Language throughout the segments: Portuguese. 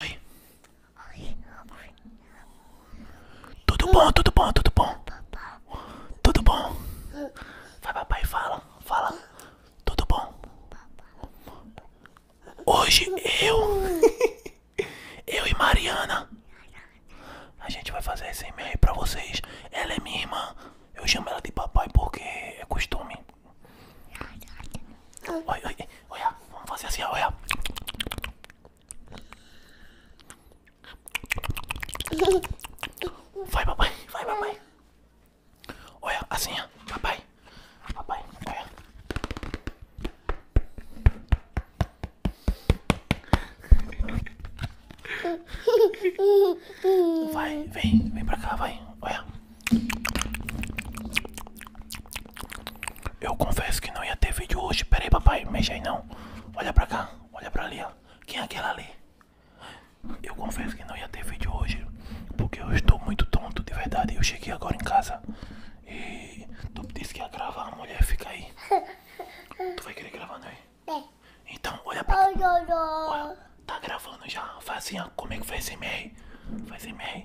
Oi. Tudo bom, tudo bom, tudo bom. Tudo bom. Vai papai, fala, fala. Tudo bom. Hoje eu, eu e Mariana, a gente vai fazer esse e-mail pra vocês. Ela é minha irmã. Eu chamo ela de papai porque é costume. Oi, oi, olha, ah, vamos fazer assim, olha. Ah. Vai, papai, vai, papai. Olha, ah, assim, ó, papai. Papai, olha. Vai, vem, vem pra cá, vai, olha. Eu confesso que não ia ter vídeo hoje. Peraí, papai, mexe aí não. Olha pra cá, olha pra ali, ó. Quem é aquela ali? Eu confesso que não ia ter vídeo hoje. Porque eu estou muito tonto, de verdade. Eu cheguei agora em casa. E tu disse que ia gravar, a mulher fica aí. Tu vai querer gravar, não né? é? Então, olha pra cá. Tá gravando já. Faz assim, ó. Comigo é faz MR. Faz MR.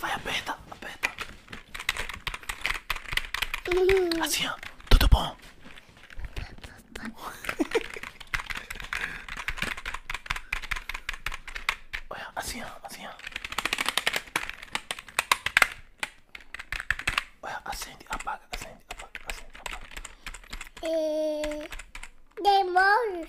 Vai, aperta, aperta. Assim, Tudo bom? Olha, assim, ó, assim, ó. acende, apaga, acende, apaga, acende, apaga. E... É, demônio.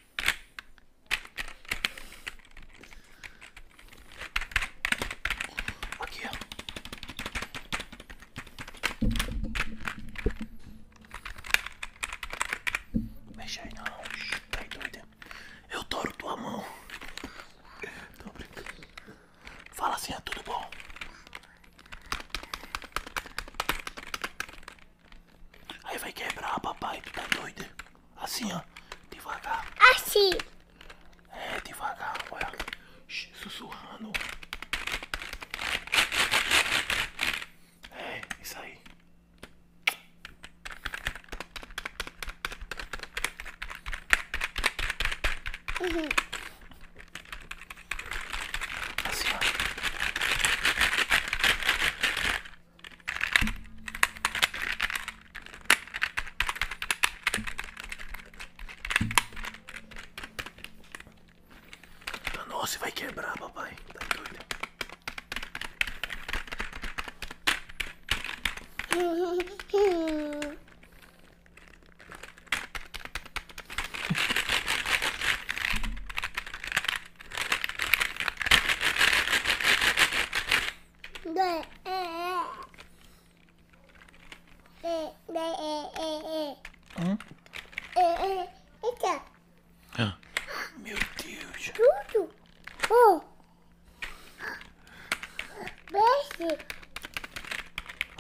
Aqui, ó. aí não, tá doido, Eu toro tua mão. Fala assim, é tudo bom. Aí vai quebrar, papai. Tu tá doido? Assim, ó. Devagar. Assim. É, devagar. Olha. Sussurrando. É, isso aí. Assim, nossa, vai quebrar, papai. Tá Hum? Eita. Ah. Meu Deus. Tudo. Oh. Beijo.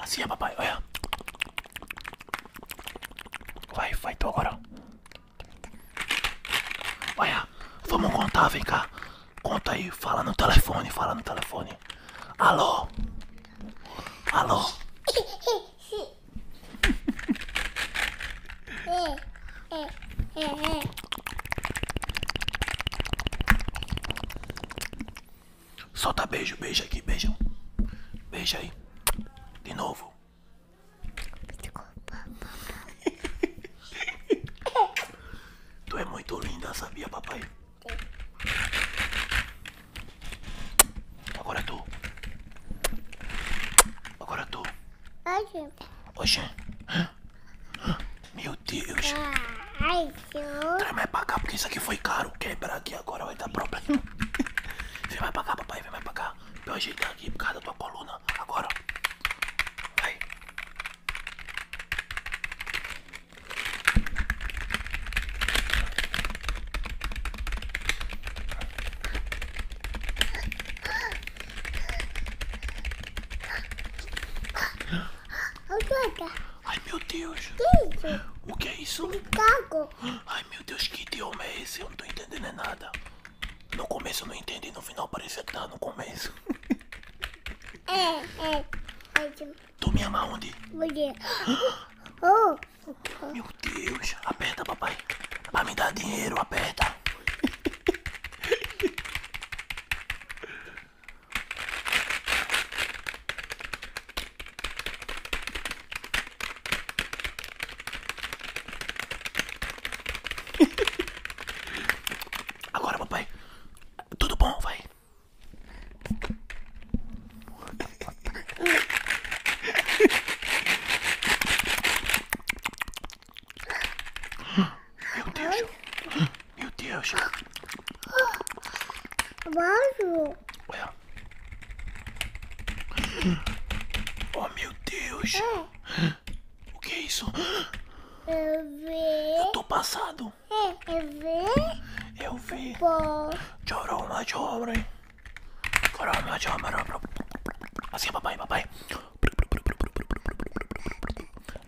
Assim é, papai. Olha. Vai, vai tu agora. Olha, vamos contar, vem cá. Conta aí, fala no telefone, fala no telefone. Alô? Alô? Solta beijo, beijo aqui, beijão. Beija aí. De novo. Desculpa, papai. Tu é muito linda, sabia, papai? Agora tu. Agora tu. Oxê. Oxê. Meu Deus. Ai, Traz mais pra cá, porque isso aqui foi caro. Quebrar aqui agora vai dar problema. Vem mais pra cá, papai. Vem mais pra cá tá? Pra eu ajeitar aqui por causa da tua coluna. Agora. Vai. Ai meu Deus! O que é isso? Ai meu Deus, que idioma é esse? Eu não tô entendendo nada. No começo eu não entendi, no final parece que tá no começo. É, é. Tu me ama onde? Porque. Oh! Meu Deus, aperta, papai. Pra me dar dinheiro, aperta. Agora, papai. Tudo bom, vai. Meu Deus. Meu Deus. Vaso. Oh meu Deus! O que é isso? Eu vi. tô passado. Eu vi. Eu vi. Choroma, choroma. Choroma, choroma. Assim, papai, papai.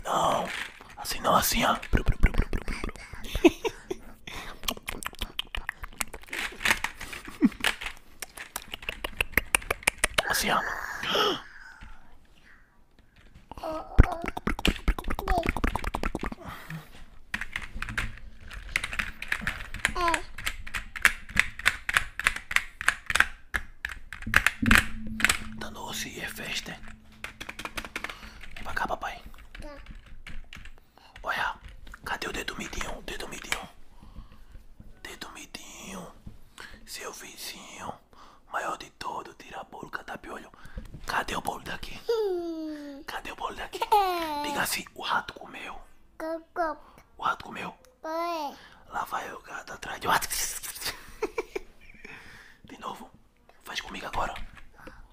Não. Assim não, assim, Oceano. Dando tá doce e é festa. Vem pra cá, papai. Tá. Olha, cadê o dedo midinho? Dedo midinho. Dedo midinho. Seu vizinho. Maior de todo, tira bolo, catapiolho. Tá cadê o bolo daqui? Cadê o bolo daqui? Diga assim, o rato comeu. O rato comeu. Lá vai o gato atrás de rato. De novo. Faz comigo agora.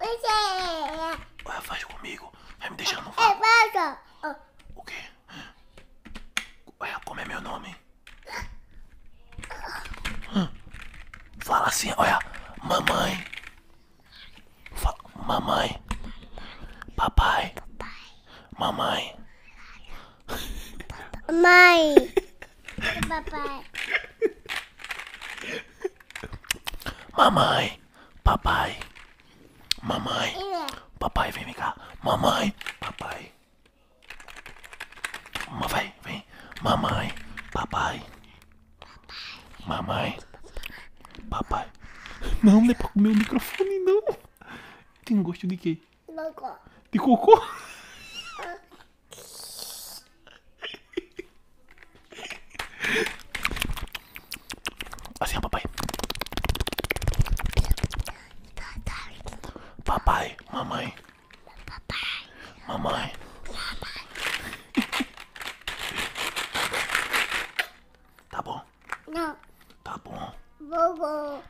É. Olha, faz comigo. Vai me deixar no é, vácuo. O quê? olha Como é meu nome? Fala assim, olha. Mamãe. mamãe. Papai. Mamãe. Mãe. Papai. Mamãe. Papai. Mamãe. Papai, vem cá. Mamãe. Papai. Vai, vem. Mamãe. Papai. Mamãe. Papai. Não, é para comer o microfone, não. Tem gosto de quê? De cocô. De cocô? Assim, ó, papai. Papai, mamãe. Papai. Mamãe. Tá bom? Não. Tá bom.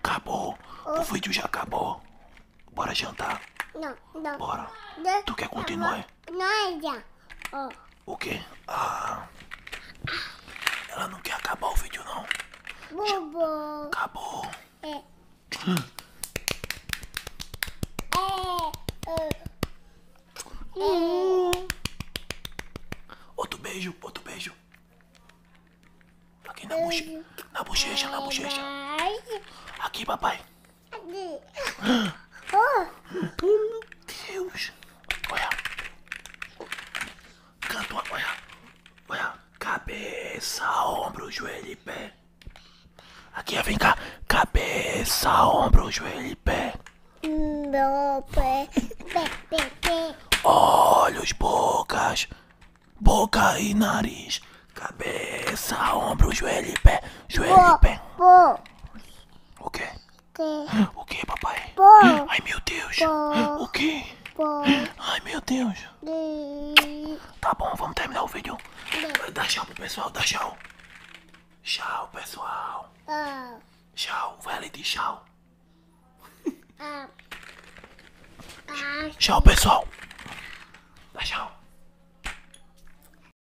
Acabou. O vídeo já acabou. Bora jantar. Não, não. Bora. Tu quer continuar? Não, não é já. Oh. O que? Ah. Ela não quer acabar o vídeo, não. Bobo. Acabou. É. Hum. Outro beijo, outro beijo. Aqui na, boche... na bochecha, na bochecha. Aqui, papai. Oh, meu Deus! Olha! Canto, olha! Olha! Cabeça, ombro, joelho e pé. Aqui, vem cá. Cabeça, ombro, joelho e pé. Pé, pé, Olhos, bocas, boca e nariz. Cabeça, ombro, joelho e pé. Joelho e pé. Bo, o quê? O quê, papai? Ai, meu Deus. O quê? Ai, meu Deus. Tá bom, vamos terminar o vídeo. Dá tchau pro pessoal, dá tchau. Tchau, pessoal. Tchau, Velity, tchau. Tchau, pessoal. Dá tchau.